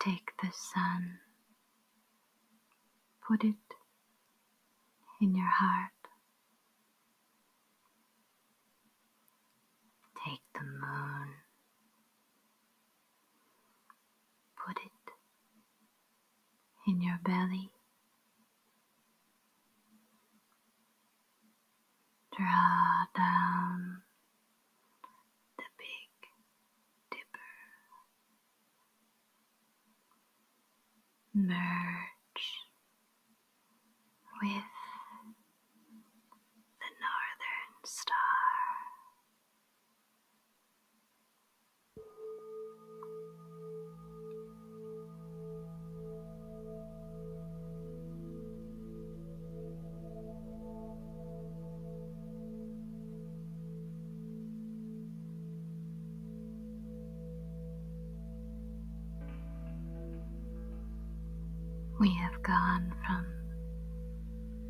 Take the sun, put it in your heart. Take the moon, put it in your belly. Draw down the big dipper. Merge with the northern star. We have gone from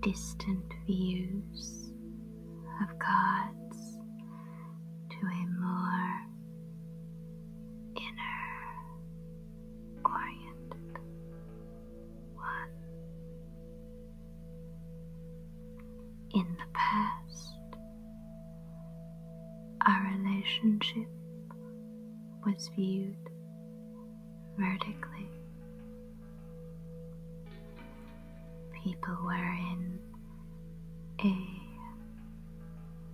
distant views of gods to a more inner oriented one. In the past, our relationship was viewed vertically. People were in a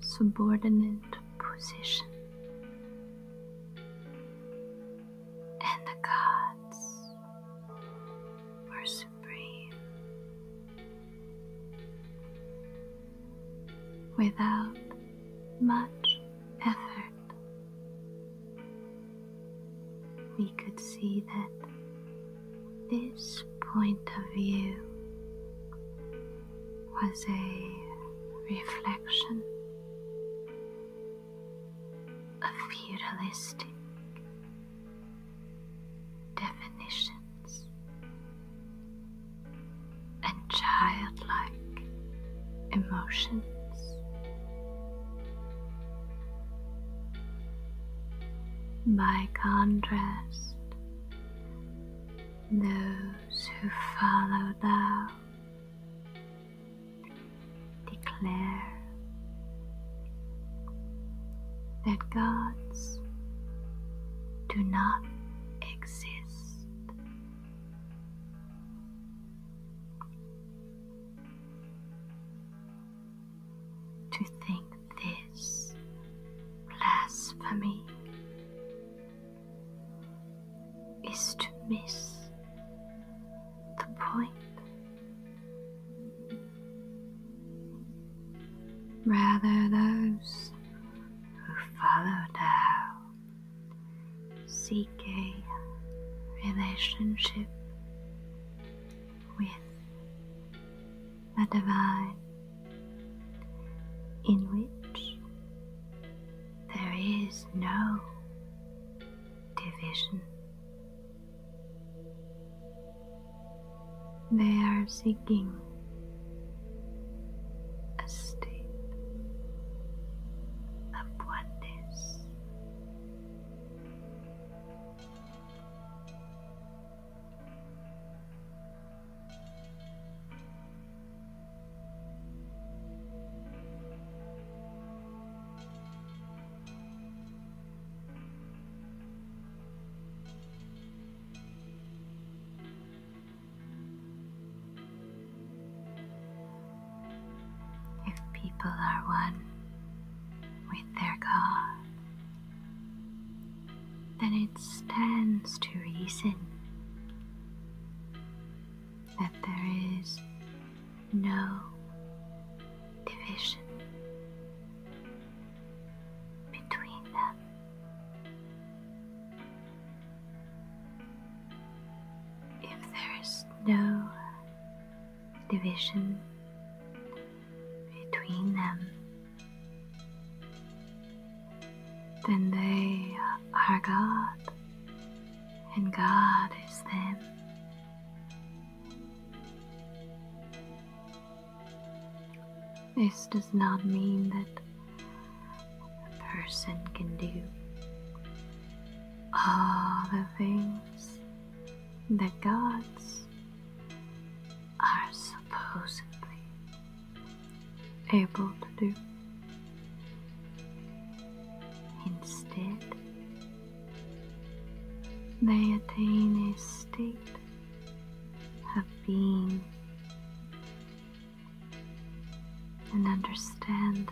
subordinate position. And the gods were supreme. Without much effort, we could see that this point of view was a reflection of feudalistic definitions and childlike emotions. By contrast, those who follow thou declare that gods do not exist. To think this. This blasphemy is to miss the point. Rather, those who follow Tao seek a relationship with but divine, in which there is no division. They are seeking a state of oneness. If people are one with their God, then it stands to reason that there is no division between them. If there is no division between them, then they are God, and God is them. This does not mean that a person can do all the things that God's are supposedly able to do. Instead, they attain a state of being and understand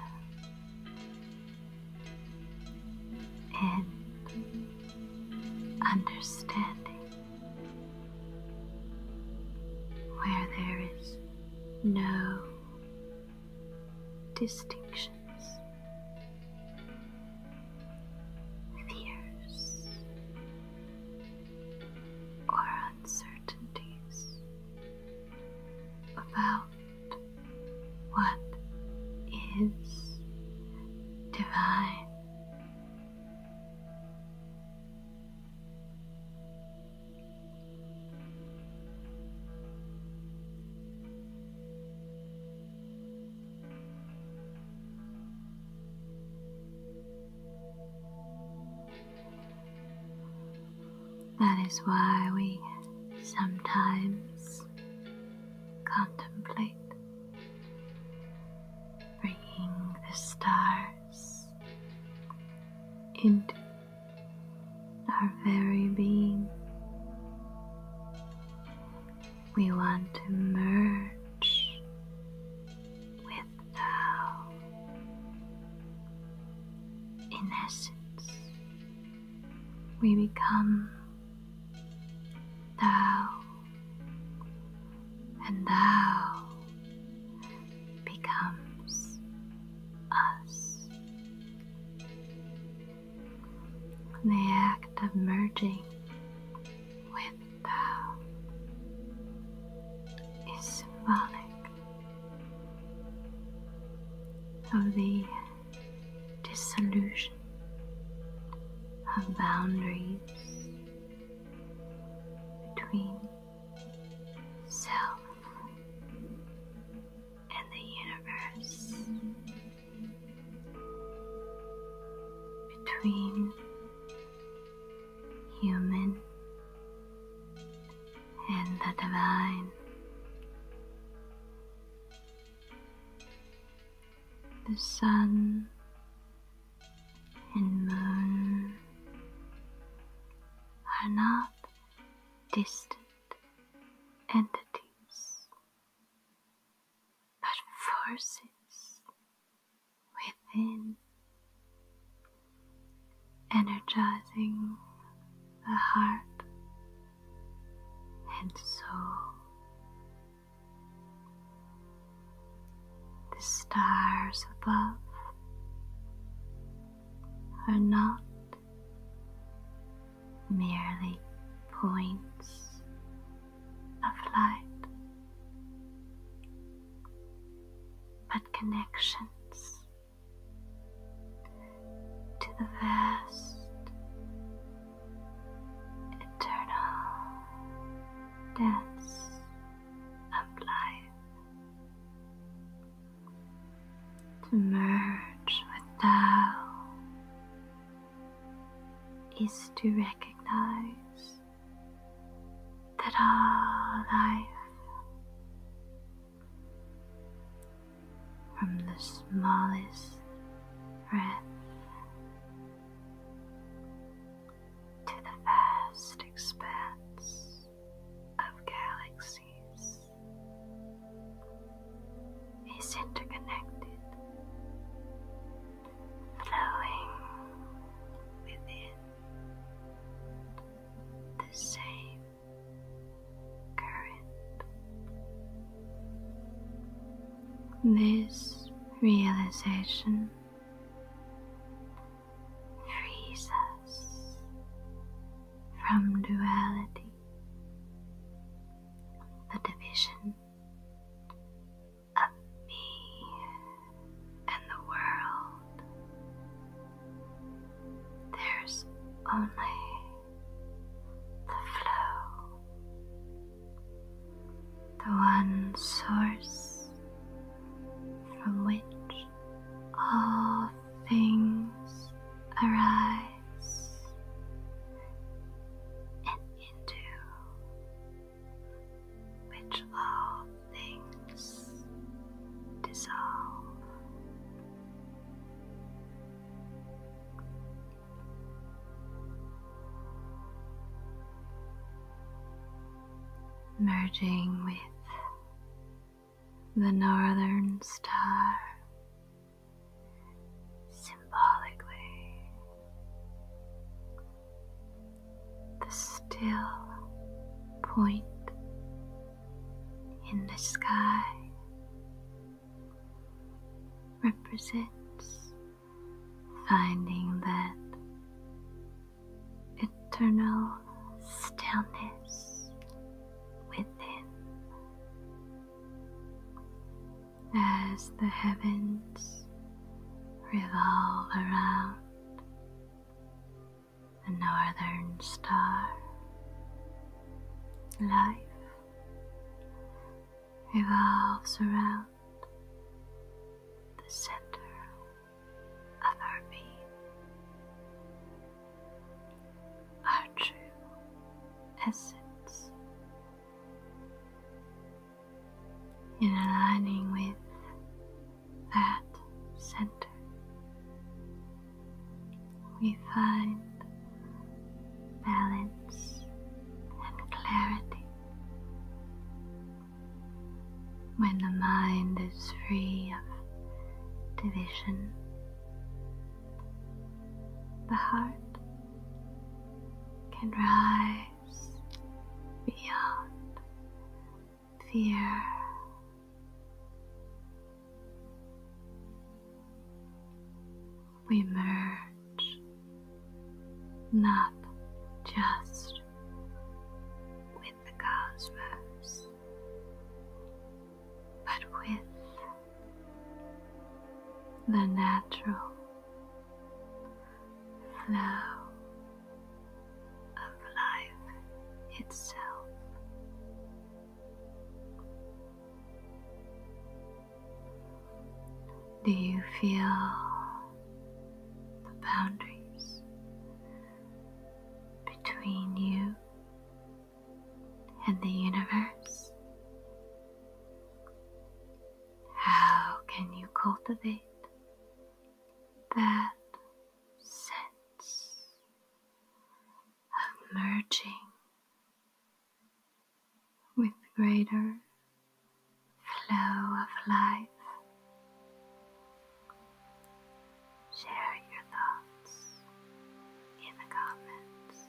and understanding where there is no distinctions, fears, or uncertainties about what is divine that is why we sometimes contemplate, bringing the stars into our very being. We want to merge with Tao in essence. We become thou, and thou becomes us. The act of merging with thou is symbolic of the dissolution of boundaries between self and the universe, between human and the divine the sun and moon are not distant entities but forces within energizing the heart and soul. The stars above are not merely points of light, but connections to the vast eternal dance of life. To merge with Tao is to recognize that all life from the smallest breath to the vast expanse of galaxies is interconnected, flowing within the same current. This realization frees us from duality, the division of me and the world. There's only the flow, the one source from which all things arise and into which all things dissolve merging with the northern star symbolically, the still point in the sky represents finding that eternal stillness within. As the heavens revolve around the northern star, life revolves around the center of our being, our true essence. In aligning with that center, we find balance and clarity. When the mind is free of division, the heart can rise beyond fear we merge not just with the cosmos, but with the natural flow of life itself. Do you feel the boundaries between you and the universe? How can you cultivate that sense of merging with greater flow of life. Share your thoughts in the comments.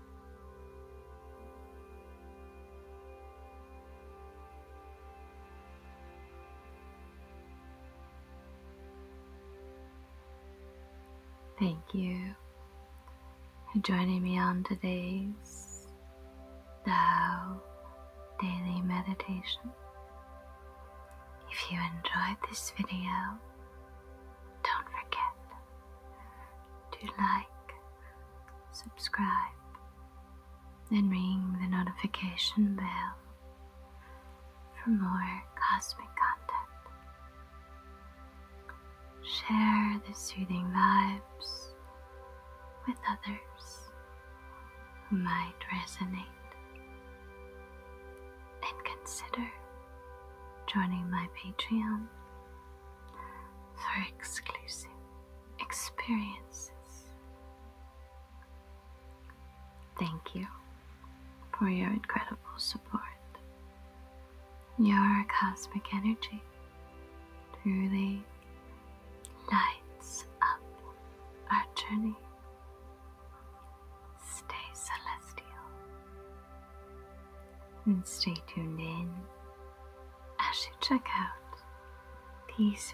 Thank you for joining me on today's Tao Daily Meditation. If you enjoyed this video, don't forget to like, subscribe, and ring the notification bell for more cosmic content. Share the soothing vibes with others who might resonate and consider joining my Patreon for exclusive experiences. Thank you for your incredible support. Your cosmic energy truly lights up our journey. Stay celestial. And stay tuned in as you check out these videos.